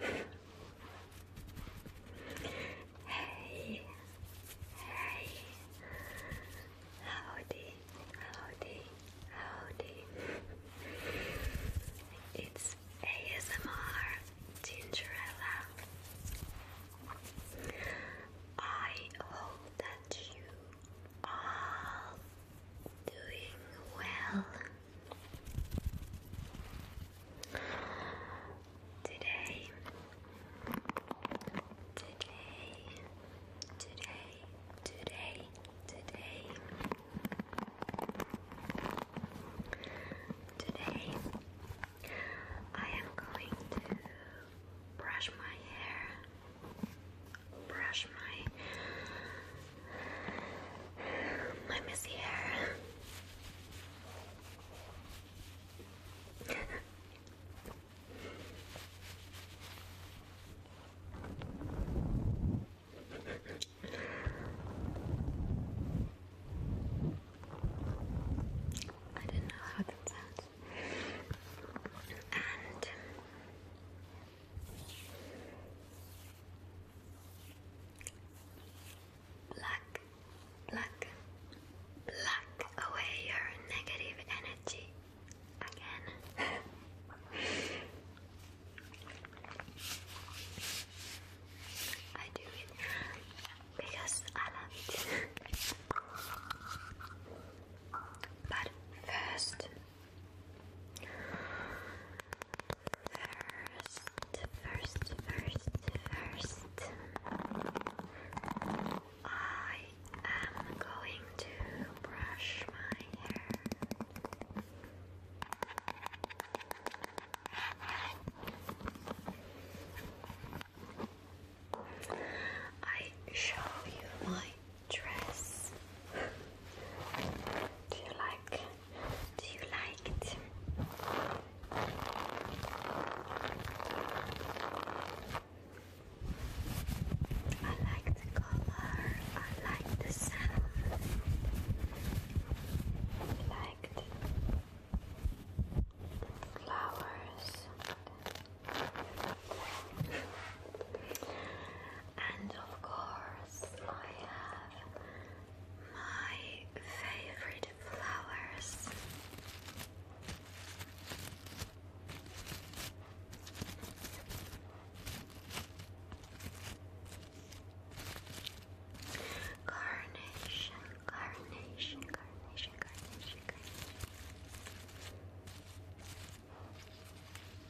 Hey, hey, howdy, howdy, howdy. It's ASMR Gingerella. I hope that you are doing well. Today, today, today, today, today, today, I am going to brush my hair, brush my my messy hair. I didn't know how that sounds. And Black, black, black away your negative energy again. I do it because I love it. but first, First, first, first, first, I am going to brush my hair. I show you my dress. do you like? Do you like it? I like the color. I like the sound. I like the flowers and of course I have my favorite flowers. Carnation, carnation, carnation, carnation, carnation.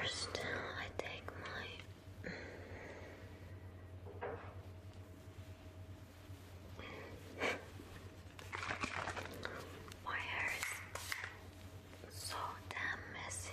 First, I take my my hair is so damn messy.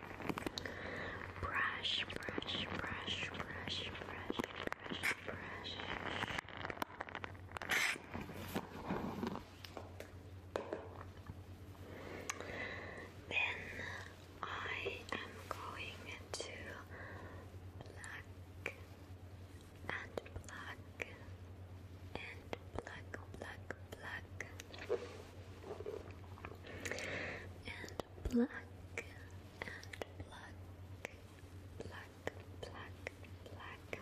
Brush, brush, brush, brush, brush, brush, brush. Then I am going to black and black and black, black, black and black and black black black black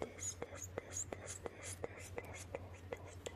this, this, this, this, this, this, this, this, this, this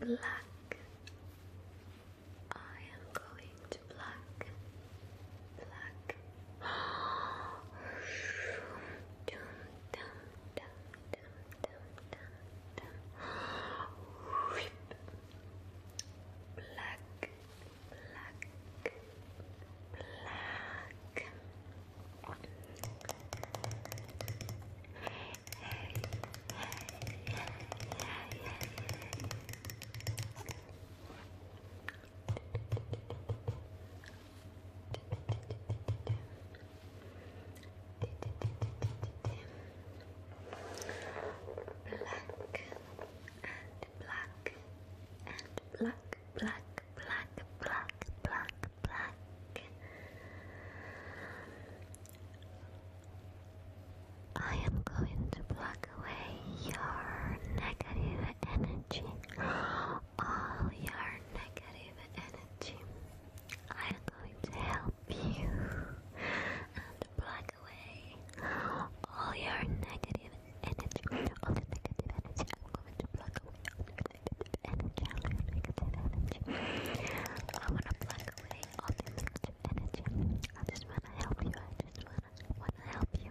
black. I am going to black, black. dum, dum, dum, dum, dum, dum, dum. Black, black, black. Black and black and black, black, black, black, black, black. I am going to block away your negative energy. All your negative energy. I am going to help you and block away all your negative energy. All the negative energy. I'm going to block away energy. I wanna plug away all the energy. I just wanna help you. I just wanna wanna help you.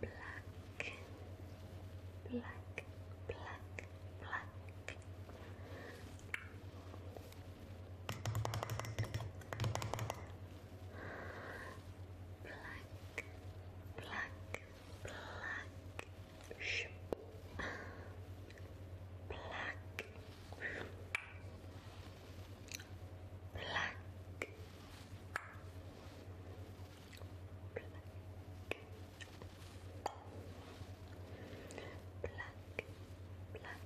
black, black, black, black. Black, black, black, Ship. black, black, Black, black, black, black, black. Black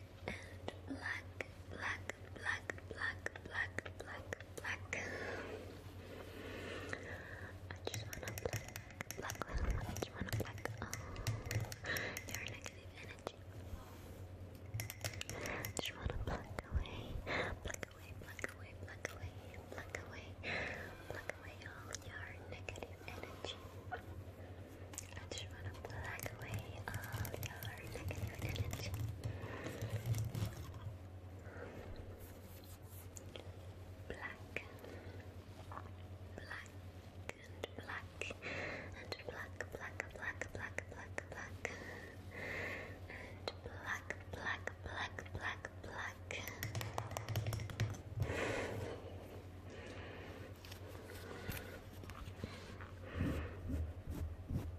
and black and black, black, black, black, black, black, black. I just wanna black, black, I just wanna black. Oh, your negative energy. I just wanna black away, black away, black away, black away, black away, black away all your negative energy. I just wanna black away all your negative energy. I black, black and black and black, black, black, black, black, black and black, black, black, black, black circle, circle, circle, and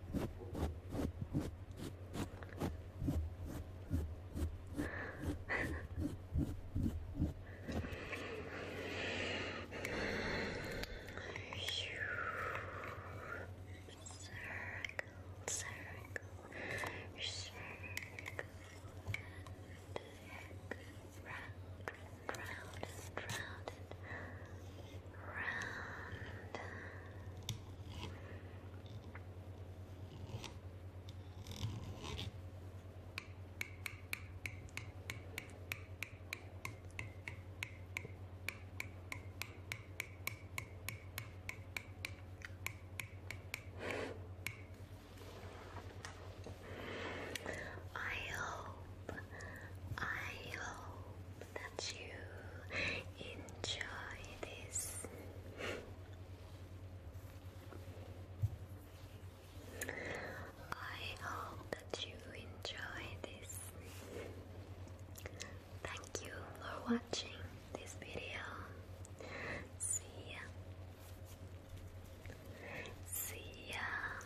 round, round, round, round, round round. I hope, I hope that you enjoy this. I hope that you enjoy this. Thank you for watching this video. See ya. See ya.